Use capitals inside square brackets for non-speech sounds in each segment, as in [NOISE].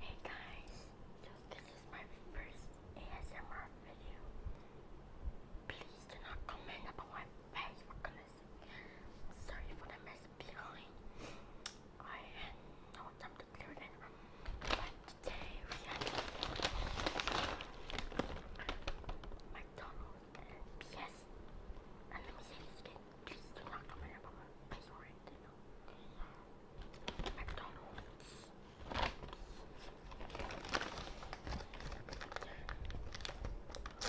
Hey guys, so this is my first ASMR video. Please do not comment about my face Sorry for the mess behind. I had no time to clear it. But today we have McDonald's and And let me say this again. Please do not comment about my face McDonald's. So,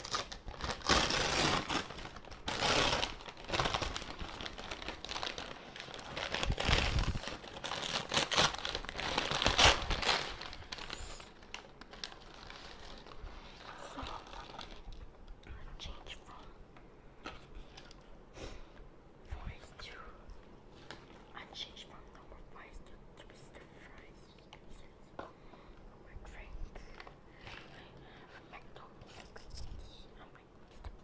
change from Voice 2. I changed from normal voice to twisted fries. my drink. I have my,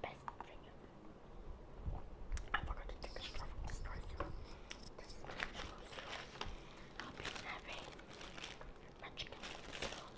best drink ever. I forgot to take a straw from this person. I've been having my chicken.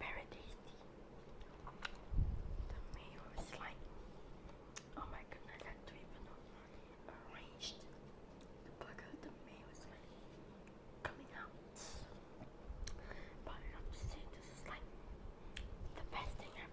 Very tasty. The mayo is like, oh my goodness, I don't know arranged the part of the mail is coming out. But I have to this is like the best thing ever.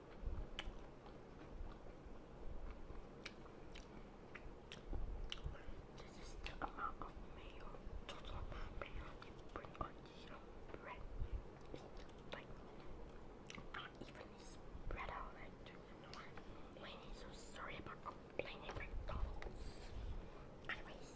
This is the amount of mayo, total amount you bread. It's not evenly spread out. Like, do so sorry about complaining about Anyways.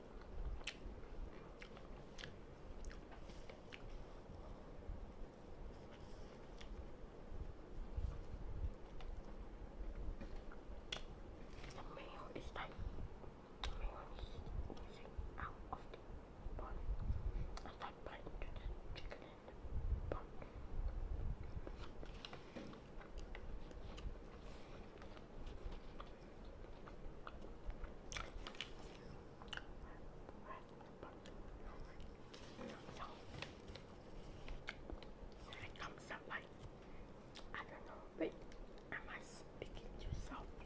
mayo is like mayonnaise using out of the pot and that bite into the chicken in the pot. It comes I don't know, but am I speaking too softly?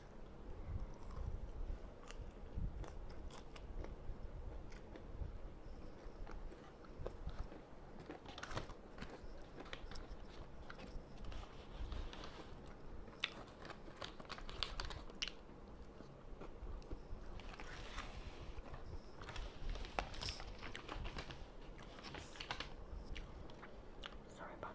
Sorry about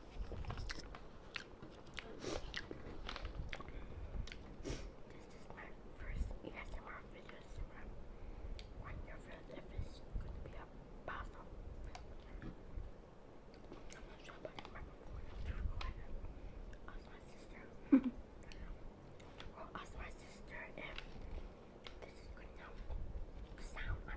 This is my first ASMR video, so i your friend if going to be a puzzle. ask my sister. ask my sister this is good enough sound, I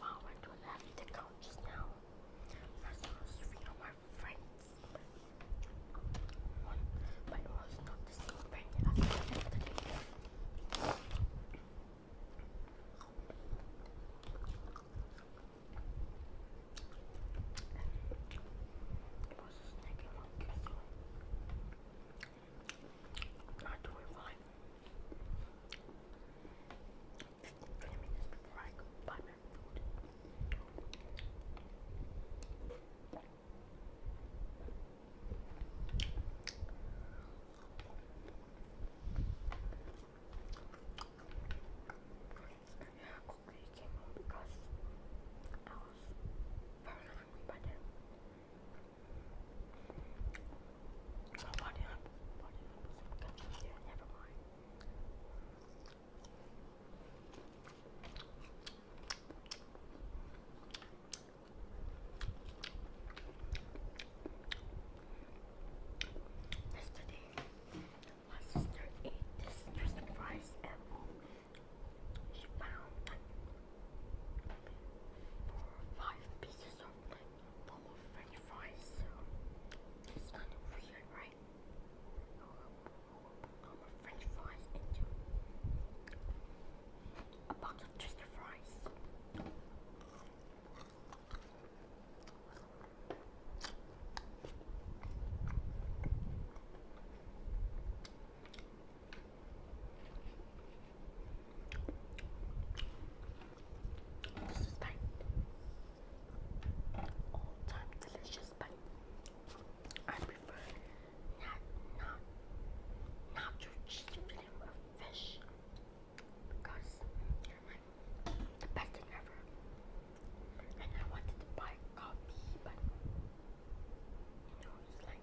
Wow, I don't have the couch now. That's was three of my friends. but it was not the same friend as the other it was a snacky monkey, so not doing let me before I go buy my food. Yeah, quickly came home because I was very hungry by then. Oh, body Yesterday, my sister ate this crispy rice at She found four or five pieces of bowl of french fries. It's kind of weird, right? A french fries into a box of twister fries. This is pine. All time delicious pine. I prefer not not not to cheat filling of fish because you're like the best thing ever. And I wanted to buy coffee but you know it's like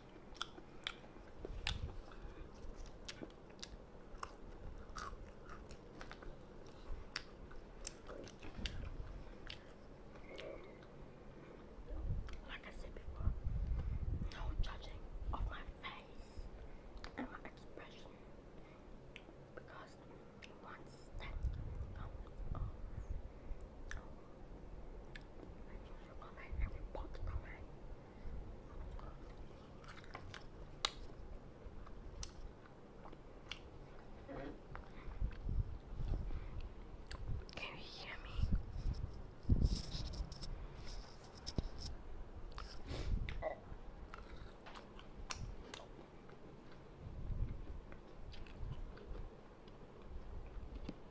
Like I said before, no judging of my face and my expression because once that comes I usually comment every can you hear me?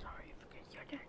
Sorry, I forget your name.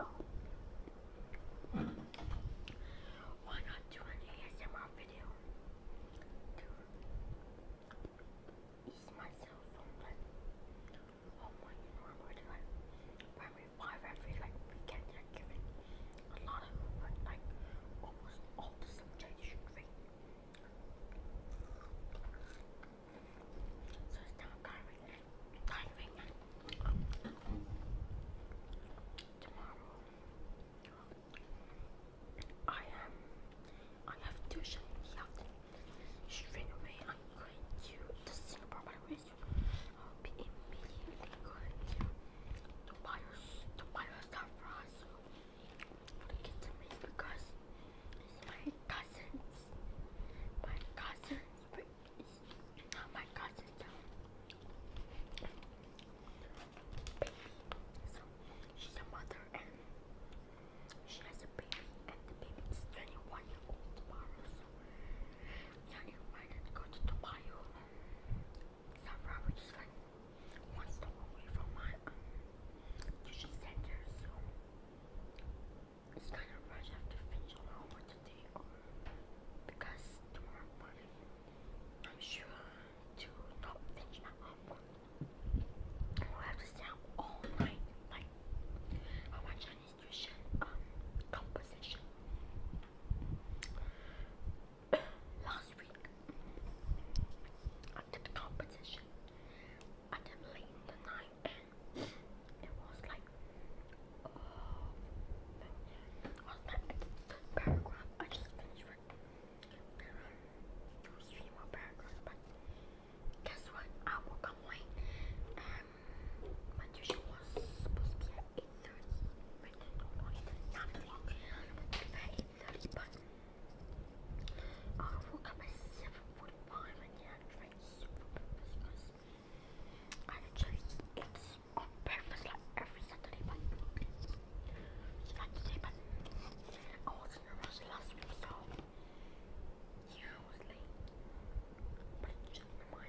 Oh. Why not do an ASMR video to ease myself from the, all my every five, like weekend they a lot of like almost all the subjects So it's not tiring. Tiring. Tomorrow I am um, I have tuition in the afternoon. Straight away I'm going to Singapore Mr. Hope immediately going to buy her, to buy her stuff for us. To get to me because it's my cousins. My cousins, but it's not my cousins though. Baby. So she's a mother and she has a baby and the baby is 21 years old tomorrow. So yeah, it reminded to go to Tobayo. South Roberts like one stop away from my tuition center, so it's kind of rush. I to finish homework today because tomorrow morning I'm sure to not finish my homework. I'll have to stay all night, like on my Chinese constitution, um, composition. [CLEARS THROAT] Last week, I did the composition. I did late in the night, and it was like, oh, it was like I did the paragraph. I just finished it. There are three more paragraphs, but guess what? I woke up late. And my tuition was supposed to be at 8.30, but no, not o'clock. At 8.30, but I woke up at 7.45 and then I drank soup breakfast I actually eat breakfast every Saturday, but it's like today, but I was in a rush last week, so yeah, I was late. But just remind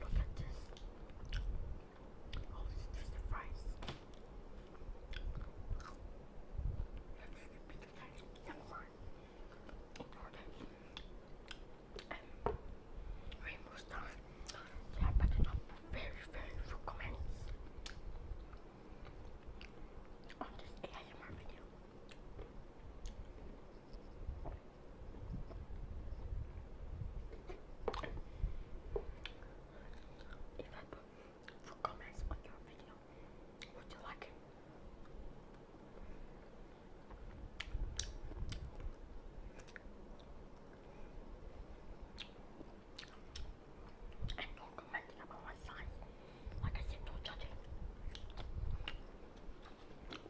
Look at this. Oh, this is the fries. That's the fries. Number in order. And Rainbow Star. They are putting up very, very few on this ASMR video. If I put for comments on video, would you like it? And no commenting about my size. Like I said, no